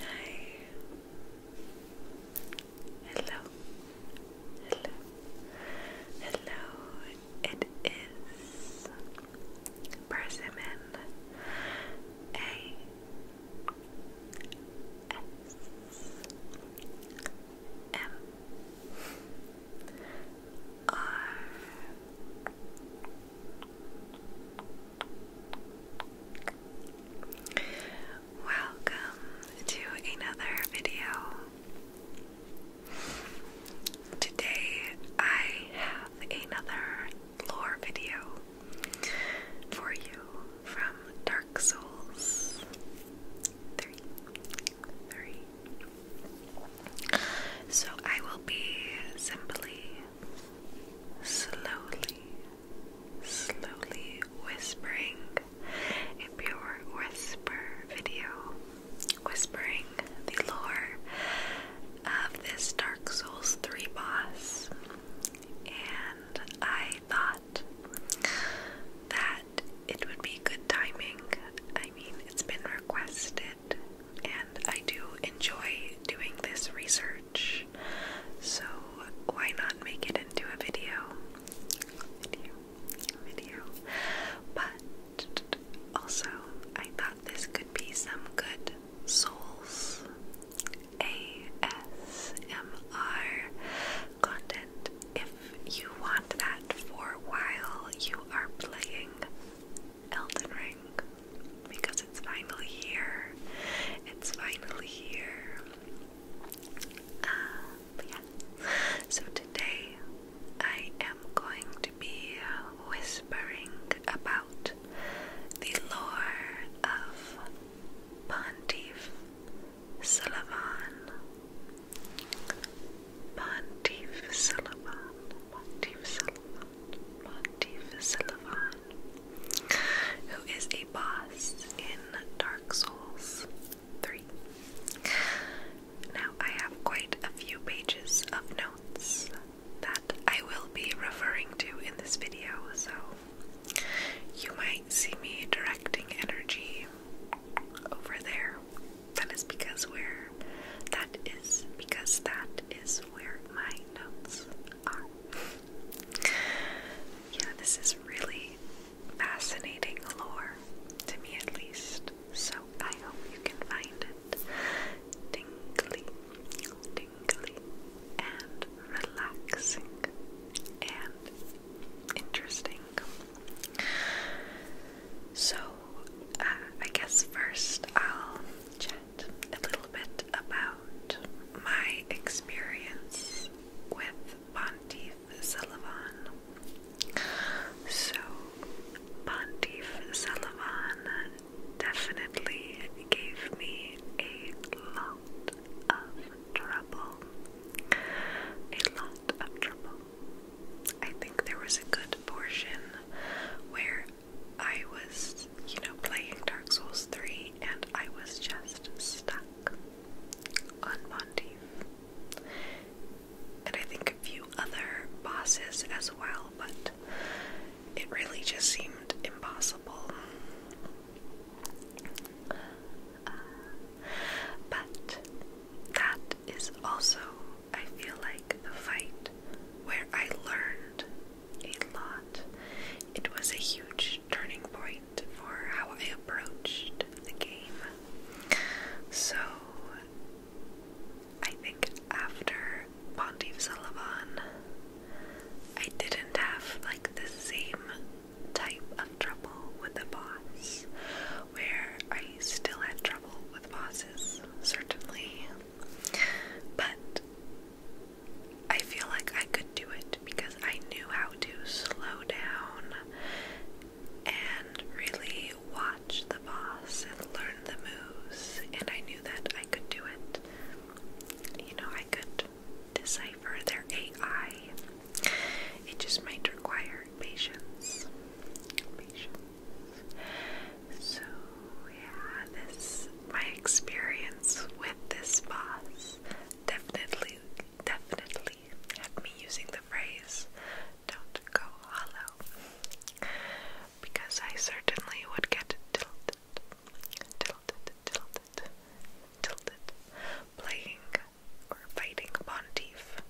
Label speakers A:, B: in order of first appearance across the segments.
A: Hi. Hello. Hello. Hello. It is Persimmon A S M R Welcome to another video. Today I have another lore video for you from Dark Souls 3. 3. So I will be simply, slowly, slowly whispering a pure whisper video, whispering the lore of this Dark Souls 3 boss. And I thought that it would be good timing. I mean, it's been requested and I do enjoy doing this research, so why not make it into a video? Video, video. But also, I thought this could be some good souls ASMR content if you want that for while you are playing Elden Ring because it's finally here. It's finally here. Uh, so today I am going to be whispering about the lore of Pontif Sullivan. Pontiff Sullivan. Pontiff Sullivan. Montefisilvan, who is a boss in Dark Souls 3. Now, I have quite a few pages of notes that I will be referring to in this video, so you might see me directing energy over there. That is because we're that is because that is where my notes are. yeah, this is really fascinating lore, to me at least. So I hope you can find it tingly, tingly, and relaxing and interesting. So, I guess first I'll chat a little bit about my experience with Pontiff Sullivan. So, Pontiff Sullivan definitely gave me a lot of trouble. A lot of trouble. I think there was a good portion where I was, you know, playing Dark Souls 3 and I was just stuck on Monteith. And I think a few other bosses as well, but it really just seemed impossible. Uh, but that is also I feel like the fight where I learned a lot. It was a huge turning point for how I approached the game. So I think after Pontiff Sullivan, I didn't have like the same type of trouble with the boss, where I still had trouble with bosses, certainly, but I feel like I could do it because I knew how to slow down and really watch the boss and learn the moves, and I knew that I could do it. You know, I could decipher their AI. It just might require patience. Patience. So, yeah, this my experience with this boss definitely, definitely had me using the phrase "don't go hollow" because I certainly would get tilted, tilted, tilted, tilted, playing or fighting Pontiff.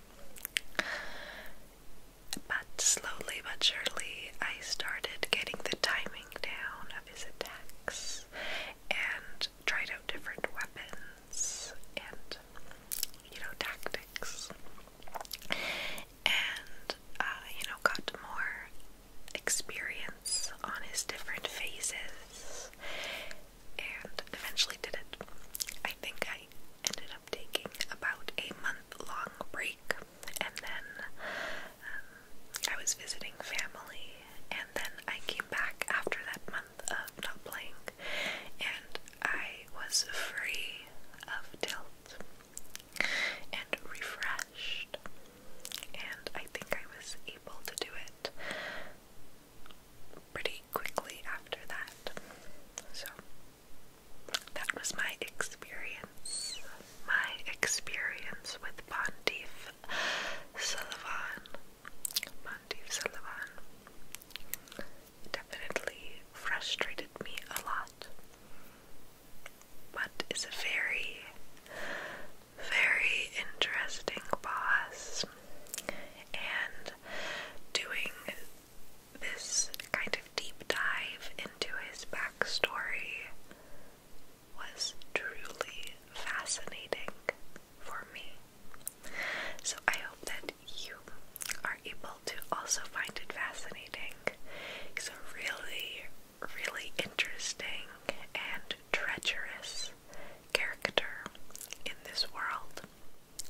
A: But slowly but surely, I started getting the timing down of his attacks and tried out different weapons and, you know, tactics. And, uh, you know, got more experience on his different phases and eventually did it. I think I ended up taking about a month long break and then um, I was visiting family, and then I came back after that month of not playing, and I was free of tilt and refreshed, and I think I was able to do it pretty quickly after that. So that was my experience. My experience with Pontiff Sullivan. Pontiff Sullivan definitely frustrated me a lot, but is a very, very interesting boss. And doing this kind of deep dive into his backstory was truly fascinating for me. So I hope that you are able to also find it fascinating. He's a really, really interesting and treacherous character in this world.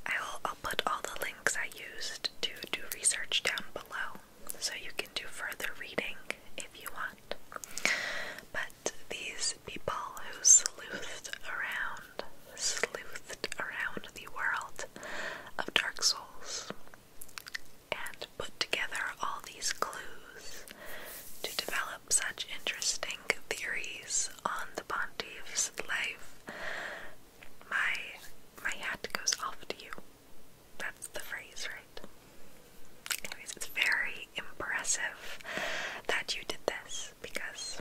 A: I will I'll put all the links I used to do research down below so you can do further reading if you want. But these people who sleuthed around, sleuthed around the world of Dark Souls and put together all these clues to develop such interesting theories on the pontiff's life. My my hat goes off to you. That's the phrase, right? Anyways, it's very impressive that you did this because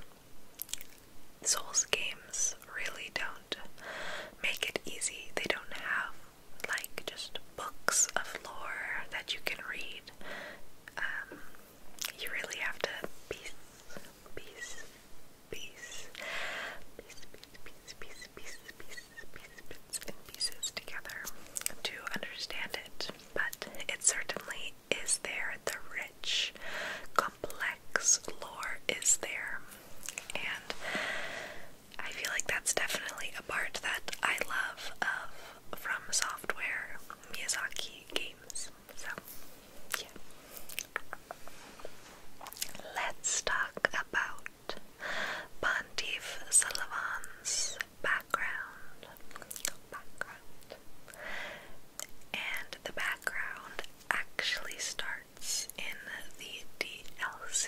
A: Souls games really don't make it easy. They don't have like just books of lore that you can read. Um, you really have to piece, piece, piece, piece, piece, piece, piece, pieces, pieces, pieces, pieces, bits and pieces together to understand it. But it certainly is there. The rich, complex lore is there. And I feel like that's definitely a part that I love of From Software Miyazaki games. So, yeah. Let's talk about art. Sullivan's background, and the background actually starts in the DLC,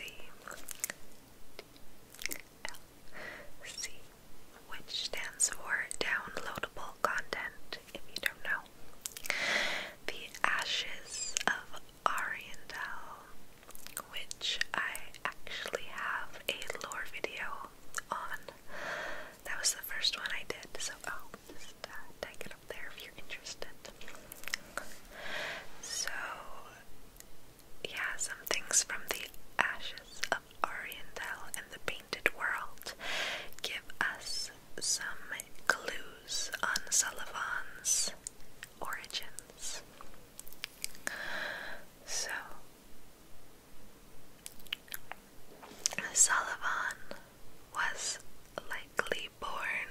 A: DLC, which stands for downloadable content. If you don't know, the ashes of Oriental, which I actually have a lore video on. That was the first one I did, so I'll oh, just uh, tag it up there if you're interested. So, yeah, some things from the ashes of Oriental and the painted world give us some clues on Sullivan's origins. So, Sullivan was likely born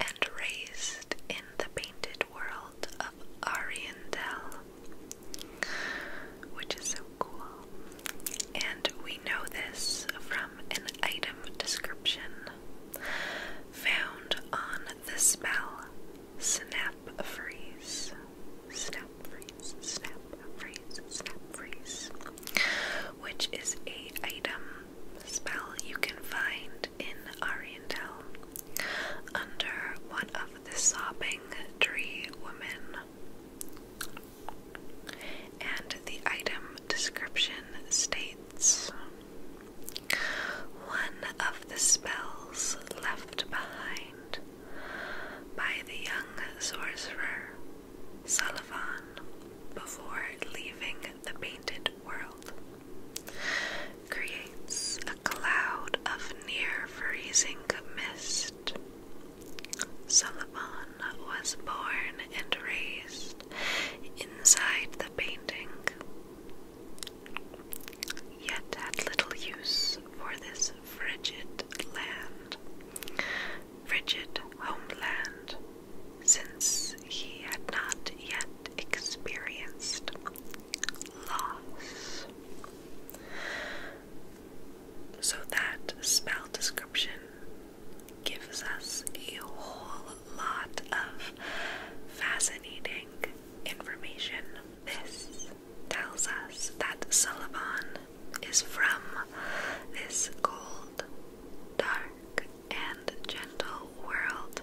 A: and raised in the painted world of Oriental, which is so cool. And we know this from item um, and item description found on the spell Snap Freeze. Snap Freeze, Snap Freeze, which is a item spell you can find in Oriental under one of the sobbing tree women. And the item description states one of the spells left behind by the young sorcerer Sullivan before leaving the painted world, creates a cloud of near freezing mist. Sullivan was born and raised inside the painting, yet had little use for this frigid land, frigid homeland, since he had not yet experienced loss. So that spell description gives us a whole lot of fascinating information. This tells us that Sullivan is from this cold, dark, and gentle world,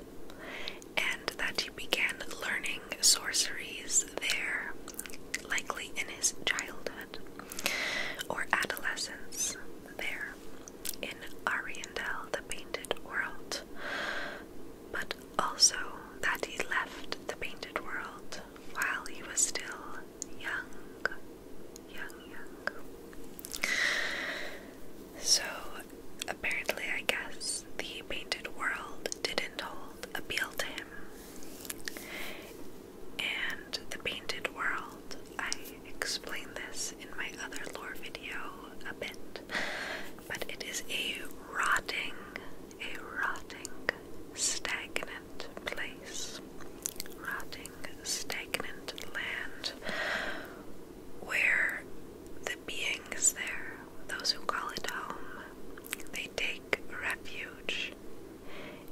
A: and that he began learning sorceries there, likely in his childhood or adolescence there in Ariandel the Painted World, but also that he left the Painted World while he was still young. Young, young. So, apparently, I guess the Painted World didn't hold appeal to him. And the Painted World I explain this in my other lore video a bit, but it is a rotting, a rotting, stagnant place. Rotting, stagnant land where the beings there, those who call it home, they take refuge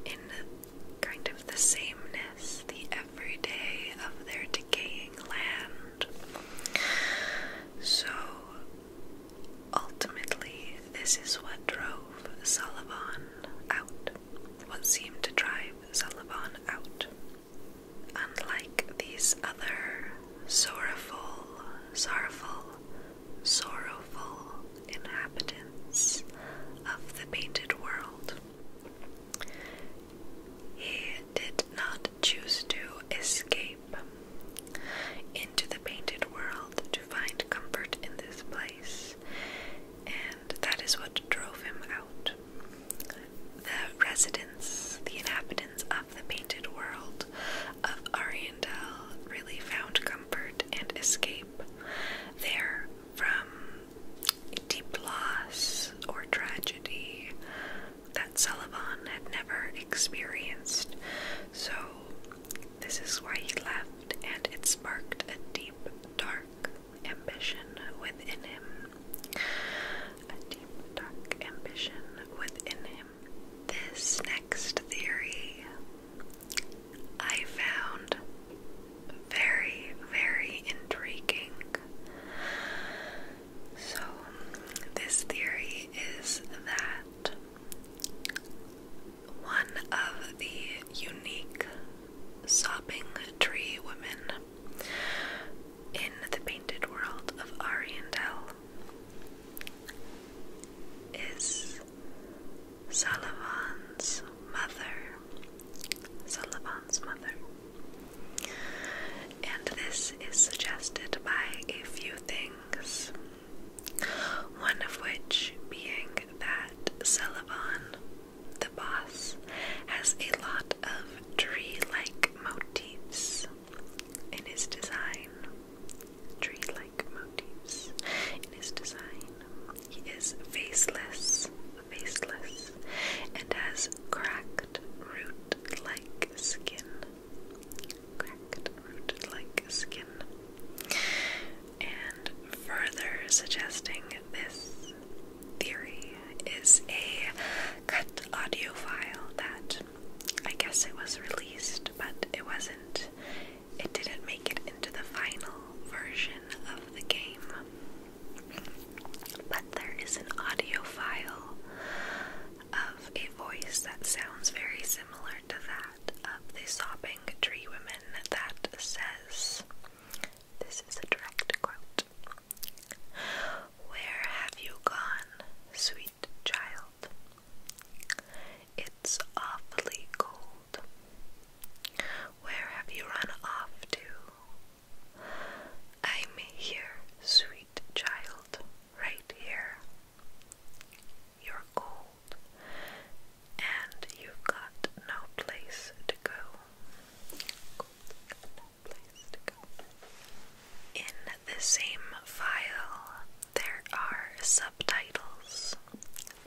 A: in kind of the same nest the everyday of their decaying land. So, ultimately, this is what drove Sullivan out, what seemed to drive Sullivan out. And like these other sorrowful, sorrowful, sorrowful inhabitants of the painted world, he did not choose to escape into the painted world to find comfort in this place, and that is what drove him out. The residents, the inhabitants of the painted world of Ariandel, really found comfort and escape there from deep loss or tragedy that Sullivan had never experienced. So, this is why he left, and it sparked a deep, dark ambition within him. A deep, dark ambition within him. This next theory I found very, very intriguing. So, this theory is that one of the unique sobbing tree women in the painted world of Ariandel is Sullivan's mother, Sullivan's mother. And this is suggested by a few things, one of which being that Sullivan, the boss, has a lot of tree like motifs in his design. Tree like motifs in his design. He is faceless faceless, and has cracked root-like skin. Cracked root-like skin. And further suggesting this theory is a cut audio file that I guess it was released, but it wasn't. It didn't make it into the final version of the game. But there is an audio file of a voice that sounds very similar to that of the sobbing tree woman that says, This is a direct quote. Where have you gone, sweet child? It's awfully cold. Where have you run off to, I'm here, sweet child, right here. You're cold, and you've got no place to go. In the same file, there are subtitles.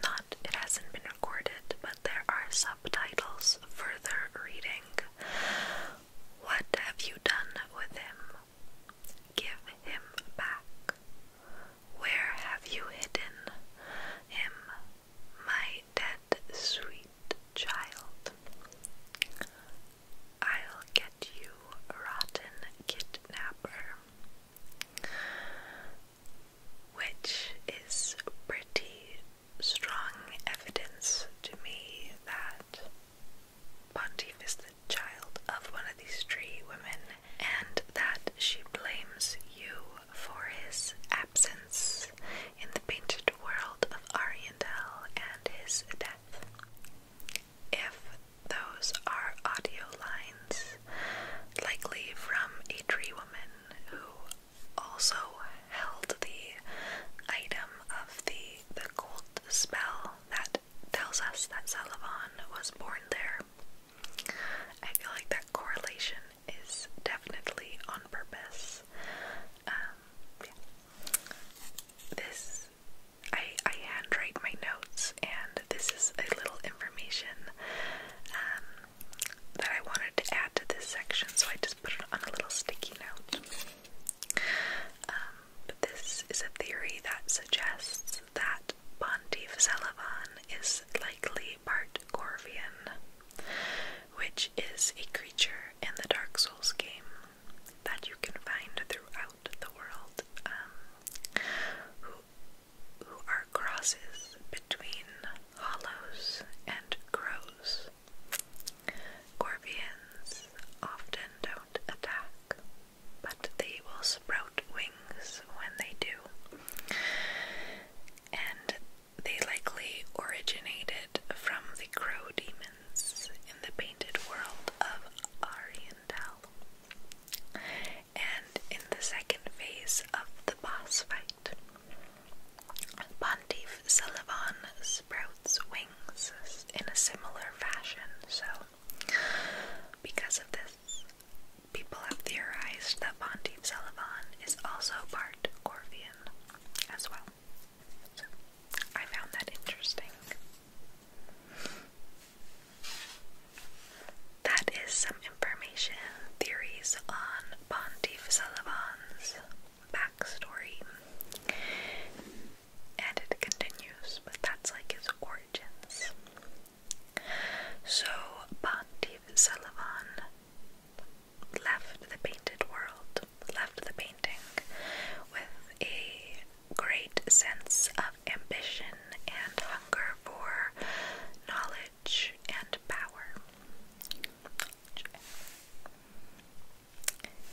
A: Not, it hasn't been recorded, but there are subtitles for their reading what have you done with him? Give him back. Where have you hidden him, my dead sweet child? I'll get you, rotten kidnapper. Which is pretty strong evidence to me that Pontiff is the child of one of these tree women and that she blames you for his absence in the painted world of Ariandel and his death. If those are audio lines, likely from a tree woman who also held the item of the the gold spell that tells us that Salavan was born there. I feel like that correlation is definitely on purpose. Um, this I I handwrite my notes, and this is a little information um, that I wanted to add to this section, so I just put it on a little sticky note. Um, but this is a theory that suggests that Pontiff Celavan is likely part Corvian, which is a creature in the Dark Souls game that you can find throughout the world, um, who are crosses between hollows and crows. Scorpions often don't attack, but they will sprout wings when they do. And they likely originated from the crow demons in the painted world of Ariandel. And in the second phase of the boss fight, Pontiff Sullivan sprouts wings in a similar fashion. So, because of this, people have theorized that Pontiff Celadon is also part Corvian as well. I found that interesting. That is some information, theories on Pontiff Sullivan's backstory. And it continues, but that's like his origins. So, Bantiv Sullivan left the painted world, left the painting with a great sense of ambition and hunger for knowledge and power.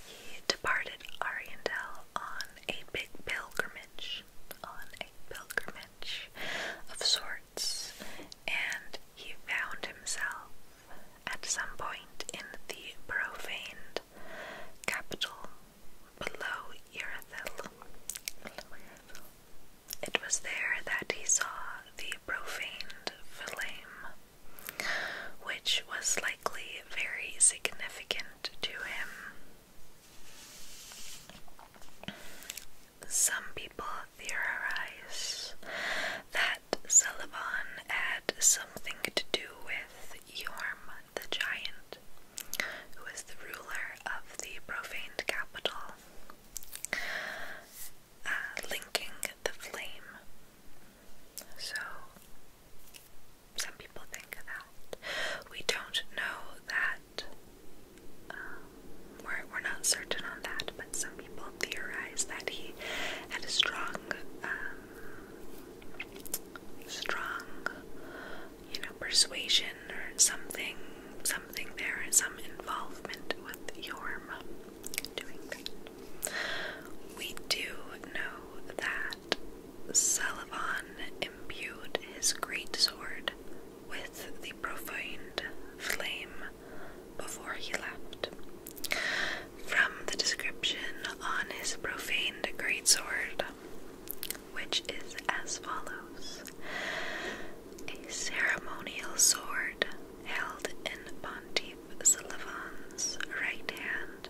A: He departed Ariandel on a big pilgrimage, on a pilgrimage of sorts, and he found himself at some point in the profaned capital below Irathil. It was there that he saw the profaned flame which was likely very significant to him. Some people theorize that Sullivan had something to do with Yorm the Giant, who was the ruler of the profaned capital, uh, linking the flame so, some people think of that. We don't know that. Um, we're, we're not certain on that, but some people theorize that he had a strong, um, strong, you know, persuasion or something, something there, some involvement with Yorm. Doing We do know that Sullivan imbued his great sword with the profaned flame before he left. From the description on his profaned great sword, which is as follows a ceremonial sword held in Pontius Dave Sullivan's right hand,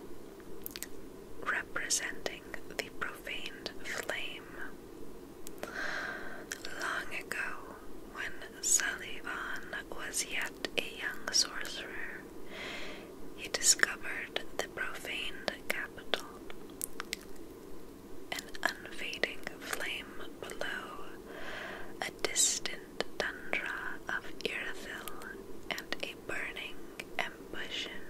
A: representing the profaned flame. Long ago, when Sullivan was yet a young sorcerer, he discovered the profaned capital. An unfading flame below, a distant and tundra of Irathil, and a burning ambition,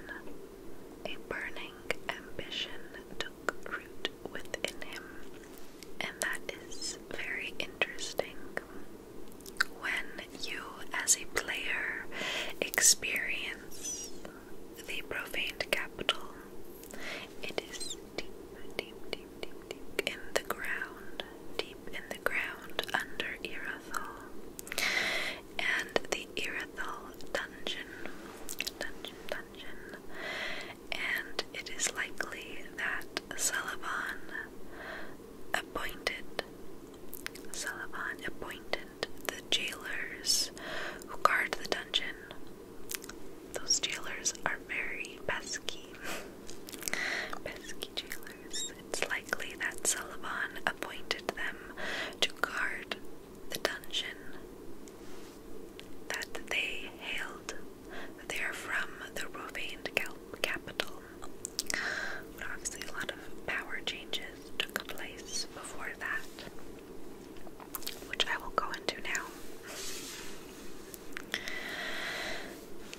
A: a burning ambition took root within him, and that is very interesting. When you, as a player, experience the profaned capital, it is deep, deep, deep deep, deep, in the ground, deep in the ground under Irithyll. And the Irithyll dungeon, dungeon, dungeon. And it is likely that Sullivan appointed, Sullivan appointed the jailers who guard the dungeon. Those jailers are very pesky. pesky, it's likely that Sullivan appointed them to guard the dungeon that they hailed. They are from the Rovanian capital. But obviously, a lot of power changes took place before that, which I will go into now.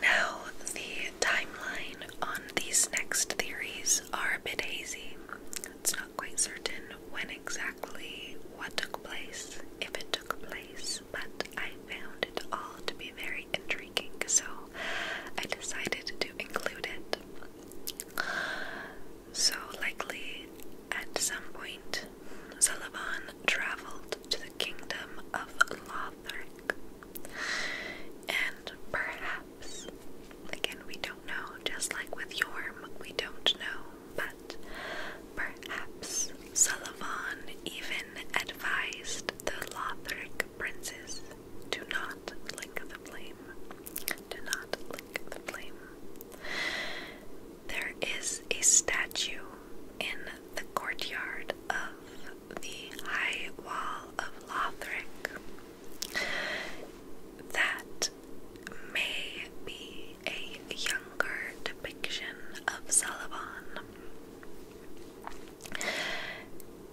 A: Now, the timeline on these next theories are a bit hazy. It's not quite certain when exactly what took place, if it took place, but I found it all to be very intriguing, so I decided to include it. So, likely at some point, Sullivan traveled to the kingdom of Lothric and perhaps, again, we don't know, just like with Yorm, we don't know, but perhaps Sullavan even advised the Lothric princes to not lick the flame. Do not lick the flame. There is a statue in the courtyard of the High Wall of Lothric. That may be a younger depiction of Salavan.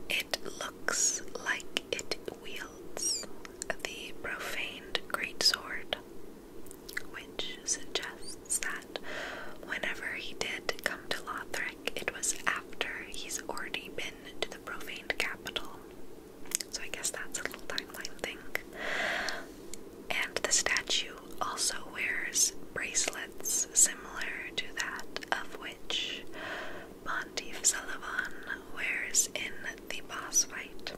A: It looks like it wields the profaned greatsword, which suggests that whenever he did come to Lothric, it was after he's already been to the profaned capital. So I guess that's a little timeline thing. And the statue also wears bracelets similar to that of which Pontiff Sullivan wears in the boss fight.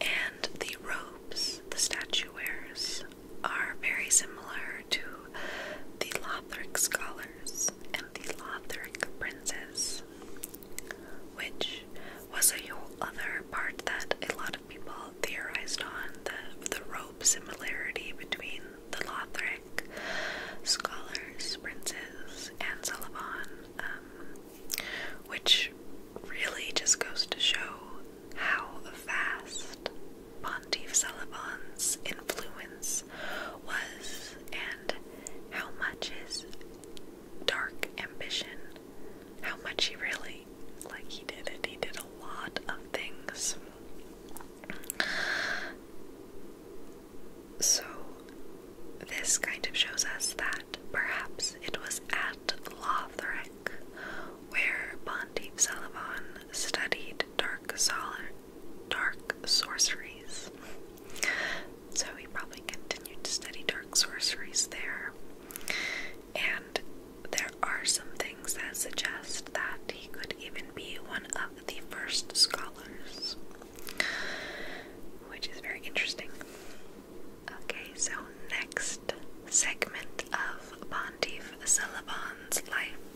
A: And the robes the statue wears are very similar to the Lothric Scholars and the Lothric Princes, which was a whole other part that a lot of people theorized on the, the rope similarity between the Lothric Scholars, Princes, and Sullivon, um, which really just goes to show how vast Pontiff Celiban's influence was and how much his dark ambition, how much he really, like he did it, he did a lot of things. So, this kind of shows us that perhaps it was at Lothric where Pontiff Celeban studied dark solid dark sorceries. So he probably continued to study dark sorceries there. And there are some things that suggest that he could even be one of the first scholars, which is very interesting. Okay, so next segment of Sandeep Selaban's life.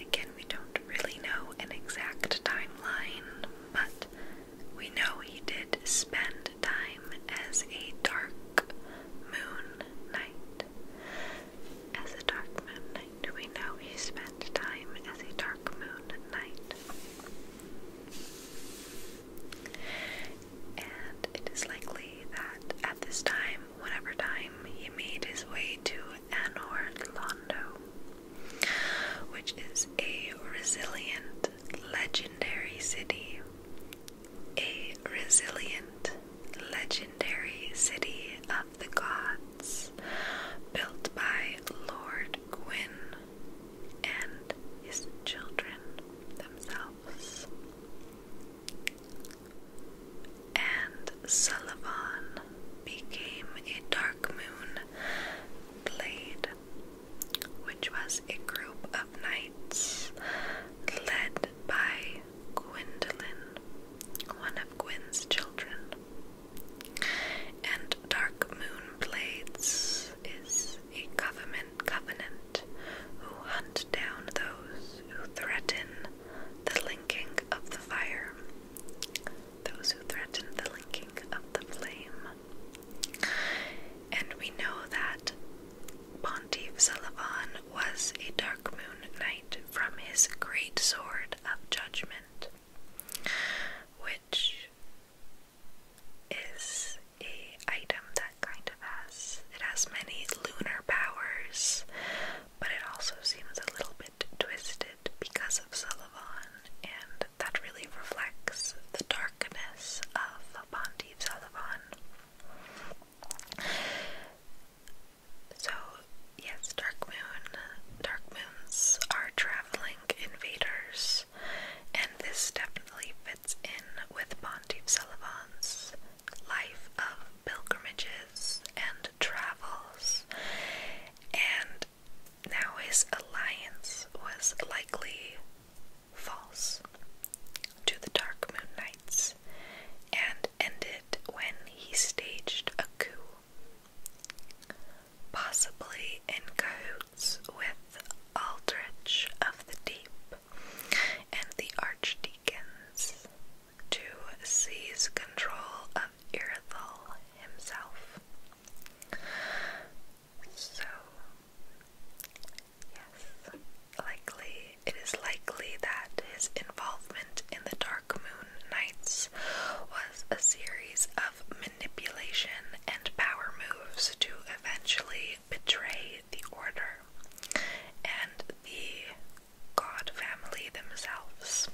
A: Again, we don't really know an exact timeline, but we know he did spend time as a dark moon night. As a dark moon knight, we know he spent time as a dark moon knight and it is likely that at this time, whatever time, he made his way to Anor Londo, which is a resilient, legendary city. A resilient, legendary city of the gods, built by Lord Gwyn and his children themselves and Sullivan became a dark moon blade, which was a group of knights led by Gwendolyn, one of Gwyn's children. And Dark Moon Blades is a covenant covenant who hunt down those who threaten the linking of the fire. Those who threaten the linking of the flame. And we know that Pontiff Sullivan was a dark moon knight from his great sword of judgment, which is a item that kind of it has many lunar powers, but it also seems a little bit twisted because of Sullivan, and that really reflects the darkness of Pontiff Sullivan. So, yes, Dark Moon. Dark Moons are traveling invaders, and this definitely fits in with Pontiff Sullivan's life of pilgrimages and travels, and now his alliance was likely false to the Dark Moon Knights and ended when he staged a coup, possibly in cahoots with Aldrich of the Deep and the archdeacons to seize control of Irithel himself. So, yes, likely it is likely that his involvement in the Dark Moon Knights was a series of manipulation and power moves to eventually betray the Order and the god family themselves.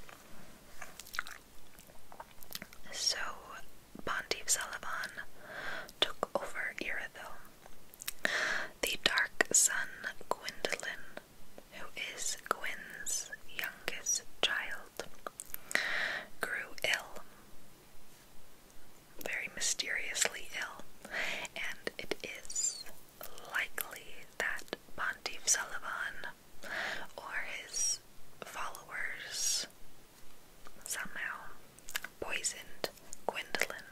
A: So Pontiff Sullivan took over Irithyll. The Dark son Gwendolyn, who is Gwyn's youngest child, grew ill, very mysteriously ill, and it is likely that Pontiff Sullivan or his followers somehow poisoned Gwendolyn,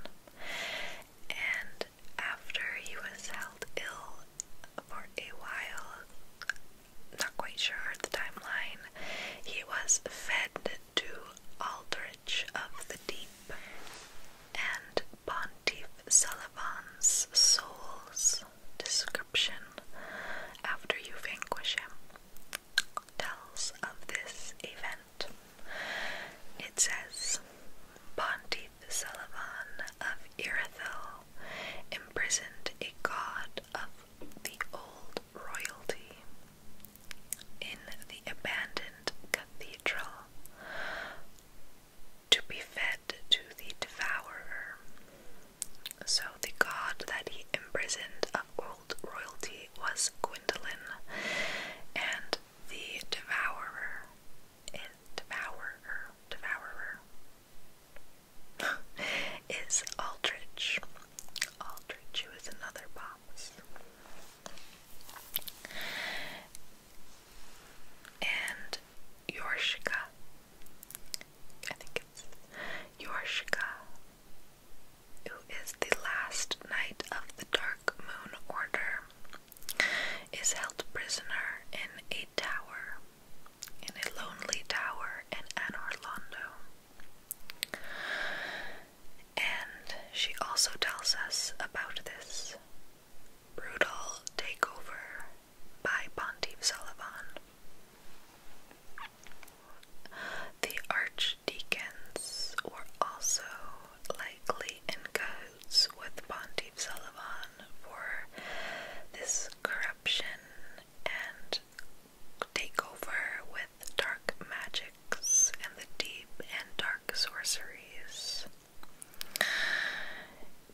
A: and after he was held ill for a while, not quite sure the timeline, he was fed to Aldrich of the Deep and Pontif Sullivan's soul's description after you vanquish him tells of this event. It says Pontif Sullivan of Irithel imprisoned a god of the old royalty in the abandoned cathedral to be fed to the devourer. So the god that he imprisoned of old royalty was Gwendolyn, and the devourer, devourer, devourer, is Aldrich. Aldrich, who is another boss and Yorshka. I think it's Yorshka, who is the last knight of the Dark Moon Order, is held prisoner in a tower, in a lonely tower in An Orlando. And she also tells us about this Brutal Takeover by Pontiff Sullivan. The archdeacons were also likely in cahoots with Pontiff Sullivan for this corruption and takeover with dark magics and the deep and dark sorceries.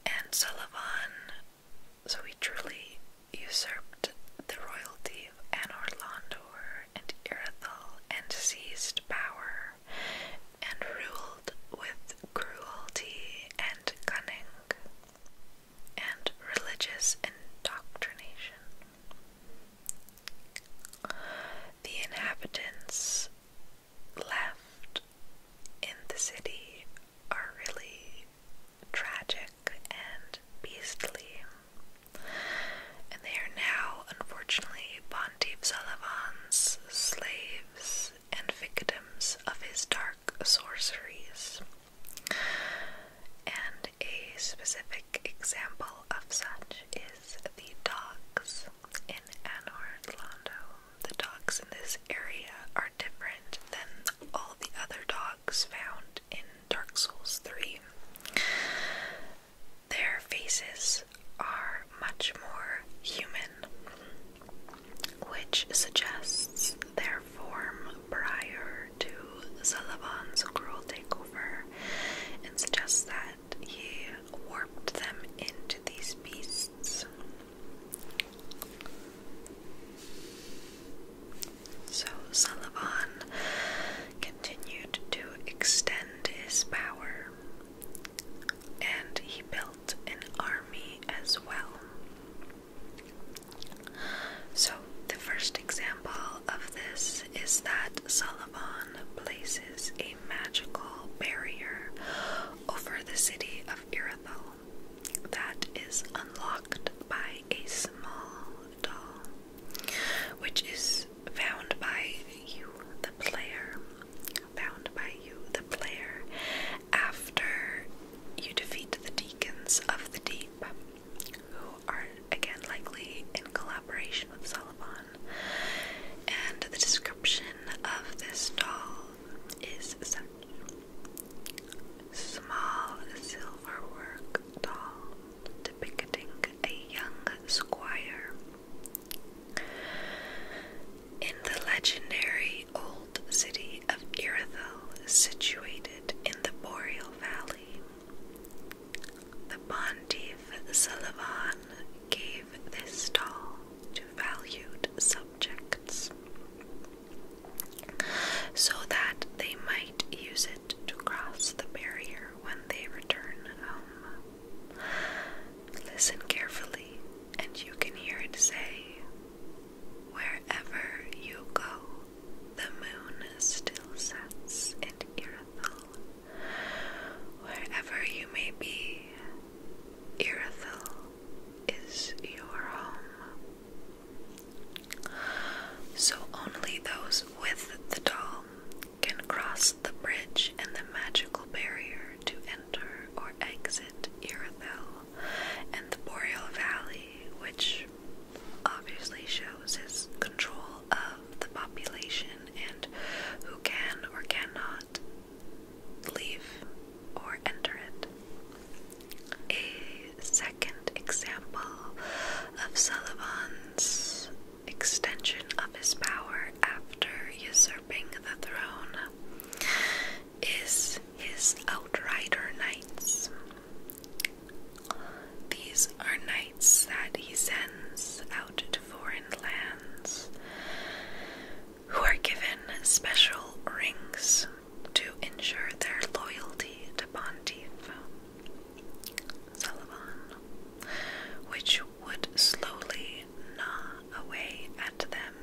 A: And Sullivan, so he truly usurped the royalty of Anor Londor and Irathal and seized power and ruled with cruelty and cunning and religious indoctrination. The inhabitants left in the city are really tragic and beastly. And they are now, unfortunately, Bondeep Sullivan's slaves and victims of his dark sorceries. And a specific example of such is the dogs in Anor Londo, the dogs in this area are different than all the other dogs found in Dark Souls 3. Their faces are much more human, which suggests their form prior to Zalavan's cruel takeover and suggests that he warped them into these beasts. So Sullivan continued to extend his power and he built an army as well. So, the first example of this is that Sullivan places a magical barrier over the city of Irithyll that is unlocked by a small doll, which is found by you, the player. Found by you, the player, after you defeat the deacons of the deep, who are again likely in collaboration with Solomon and the description of this doll is such small silver work doll depicting a young squire in the legendary old city of Irithel, situated in the boreal valley. The Pontiff Sullivan gave this doll to valued subjects so that they might use it to cross the barrier when they return home. Listen carefully, and you can hear it say, Wherever you go, the moon still sets in Irithyll Wherever you may be, Irithel is your home. So only those with the doll can cross the bridge and the magical barrier to enter or exit Irithel and the Boreal Valley, which obviously shows his control of the population and who can or cannot leave or enter it. A second example of Sullivan's extension of his power after usurping the throne is his outrider knights. These are knights that he sends out to foreign lands, who are given special rings to ensure their loyalty to Pontiff Sullivan, which would slowly gnaw away at them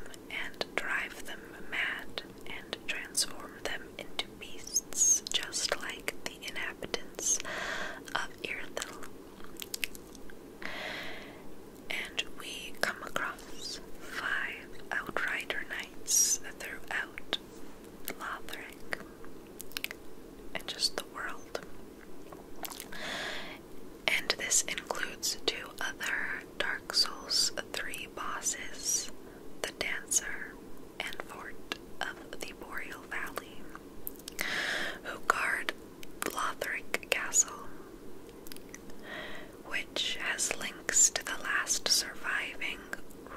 A: and drive them mad and transform them into beasts just like the inhabitants of Irthil and we come across five outrider knights throughout Lothric and just the world. And this includes two other Dark Souls 3 bosses the Dancer and Fort of the Boreal Valley, who guard Lothric Castle, which has links to the last surviving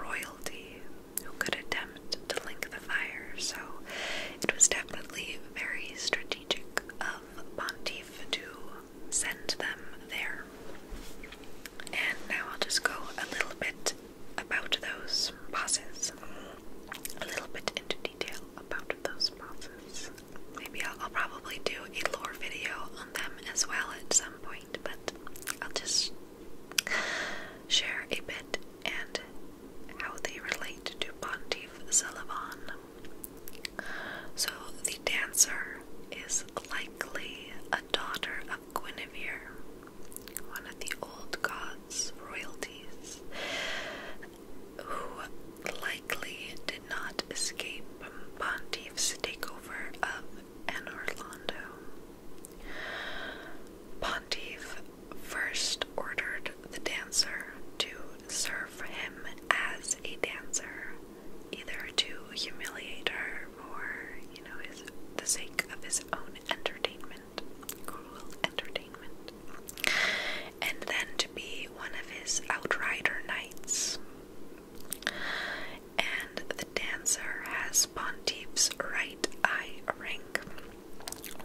A: royalty who could attempt to link the fire, so it was definitely very strategic of Pontiff to send them there. And now I'll just go a little bit about those bosses, a little bit into detail about those bosses. Maybe I'll, probably do a lore video on them as well at some point, but I'll just share a bit and how they relate to Pontiff Sullivan. So, the dancer is likely a daughter of Guinevere, one of the old gods' royalties, who likely did not escape Pontiff's takeover of an Orlando. Pontiff first ordered the dancer to serve him as a dancer, either to humiliate her or, you know, his, the sake of his own entertainment, cruel entertainment and then to be one of his outrider knights. And the dancer has Pontiff's right eye ring,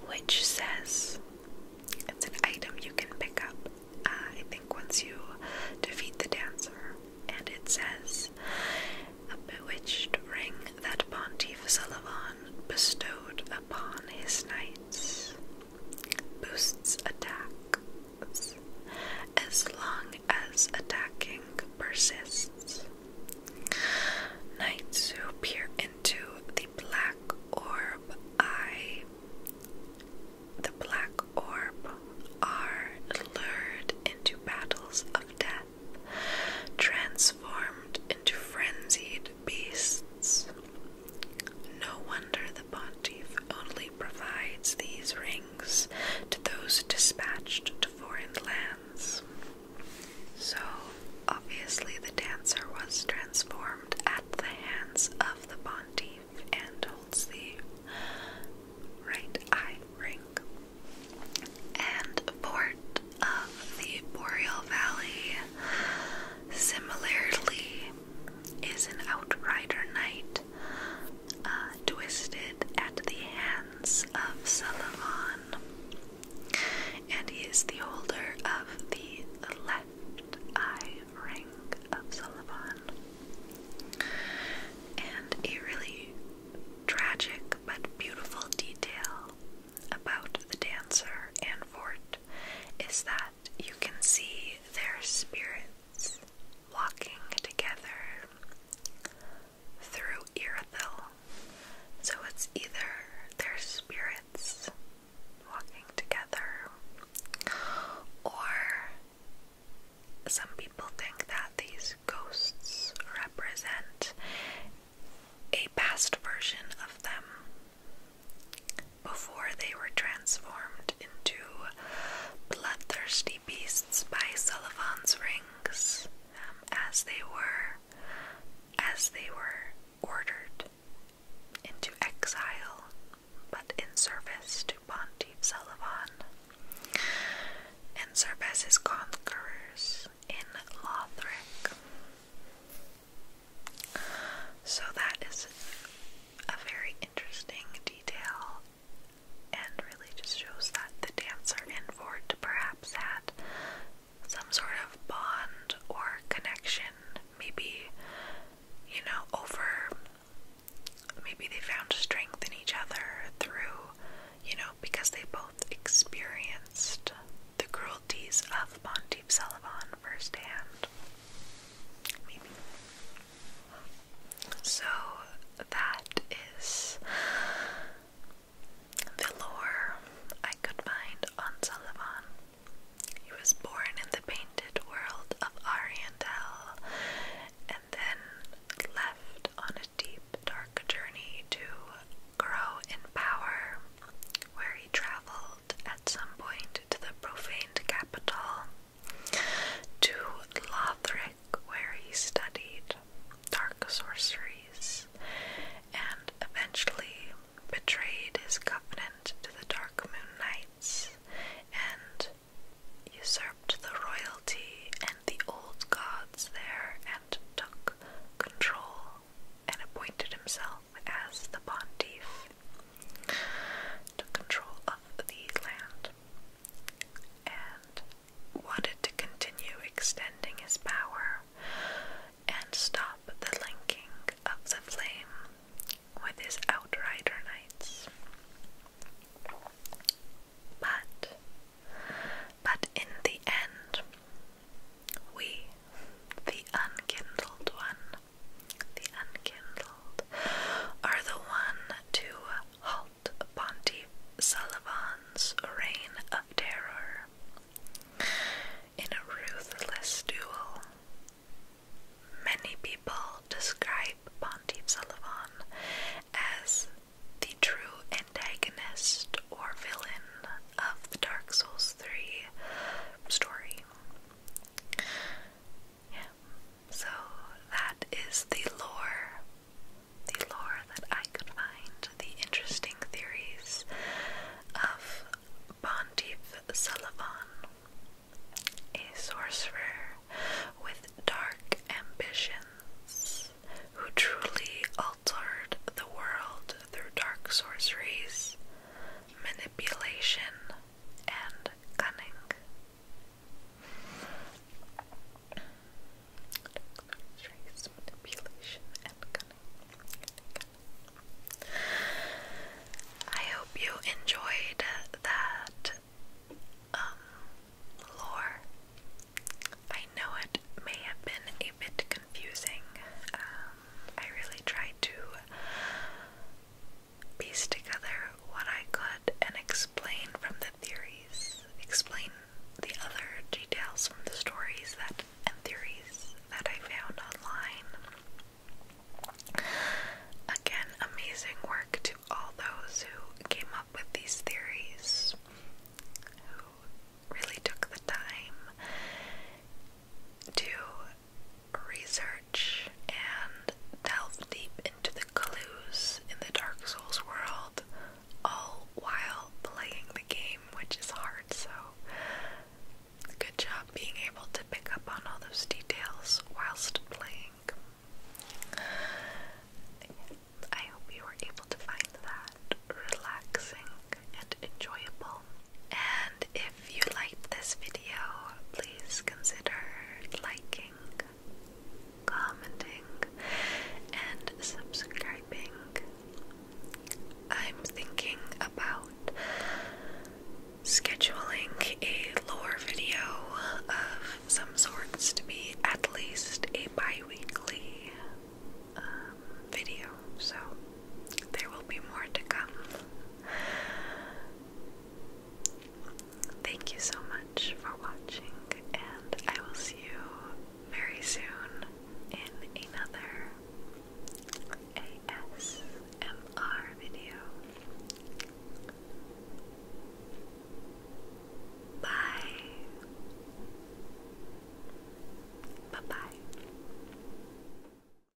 A: which says it's an item you can pick up, uh, I think, once you defeat the dancer. And it says, a bewitched ring that Pontiff Sullivan bestowed upon his knights boosts attacks as long as attacking persists. Knights who peer into the black orb eye the black orb are lured into battles of death, transformed into frenzied beasts. No wonder the pontiff only provides these rings to those dispatched to foreign lands. So, obviously, the dancer was transformed at the hands of the pontiff and holds the right eye ring. And port of the Boreal Valley, similarly, is an outrider knight, uh, twisted at the hands of Sulivan, and he is the holder of the left eye ring of Sulivan. And a really tragic but beautiful detail about the dancer and fort is that you can see their spirits walking together through Irithyll. So it's either their spirits walking together, or some people think that these ghosts represent a past version of them before they were transformed into bloodthirsty beasts by Sullivan's rings, um, as they were, as they were ordered into exile, but in service to Pontiff Sullivan, and serve as his conquerors in Lothric. So that is a very interesting detail and really just shows that the dancer and Ford perhaps had some sort of bond or connection. Maybe, you know, over maybe they found strength in each other through, you know, because they both experienced the cruelties of Monteep Sullivan firsthand. So that is the lore I could find on Sullivan. He was born in the painted world of Ariandel and then left on a deep, dark journey to grow in power where he traveled at some point to the profaned capital, to Lothric, where he studied dark sorceries, and eventually betrayed his covenant to the Dark Moon Knights and usurped the royalty and the old gods there and took control and appointed himself as the pontiff, took control of the land and wanted to continue extending his power and stop the linking of the flame with his outrider knights. But, but in the end, we, the unkindled one, the unkindled, are the one to halt Pontiff Sullivan's reign of terror. In a ruthless duel, many people describe Pontiff Sullivan as the true antagonist or villain of the Dark Souls 3 story. Yeah. So that is the lore. The lore that I could find, the interesting theories of Pontiff Sullivan, a sorcerer with dark ambitions who truly altered the world through dark sorceries, manipulation, and cunning. Trace manipulation and cunning. I hope you enjoyed that um, lore. I know it may have been a bit confusing. Um, I really tried to piece together what I could and explain from the theories, explain the other details from the stories that and theories that I found online. Again, amazing work to all those who came up with these theories, who really took the time to research and delve deep into the clues in the Dark Souls world, all while playing the game, which is hard. So, good job being able to pick up on all those details whilst playing. I hope you were able to find that relaxing and enjoyable. And if if you liked this video, please consider liking, commenting, and subscribing. I'm thinking about scheduling a lore video of some sorts to be at least a biweekly um, video. So there will be more to come. Thank you so much for watching, and I will see you very soon in another ASMR video. Bye. Bye bye.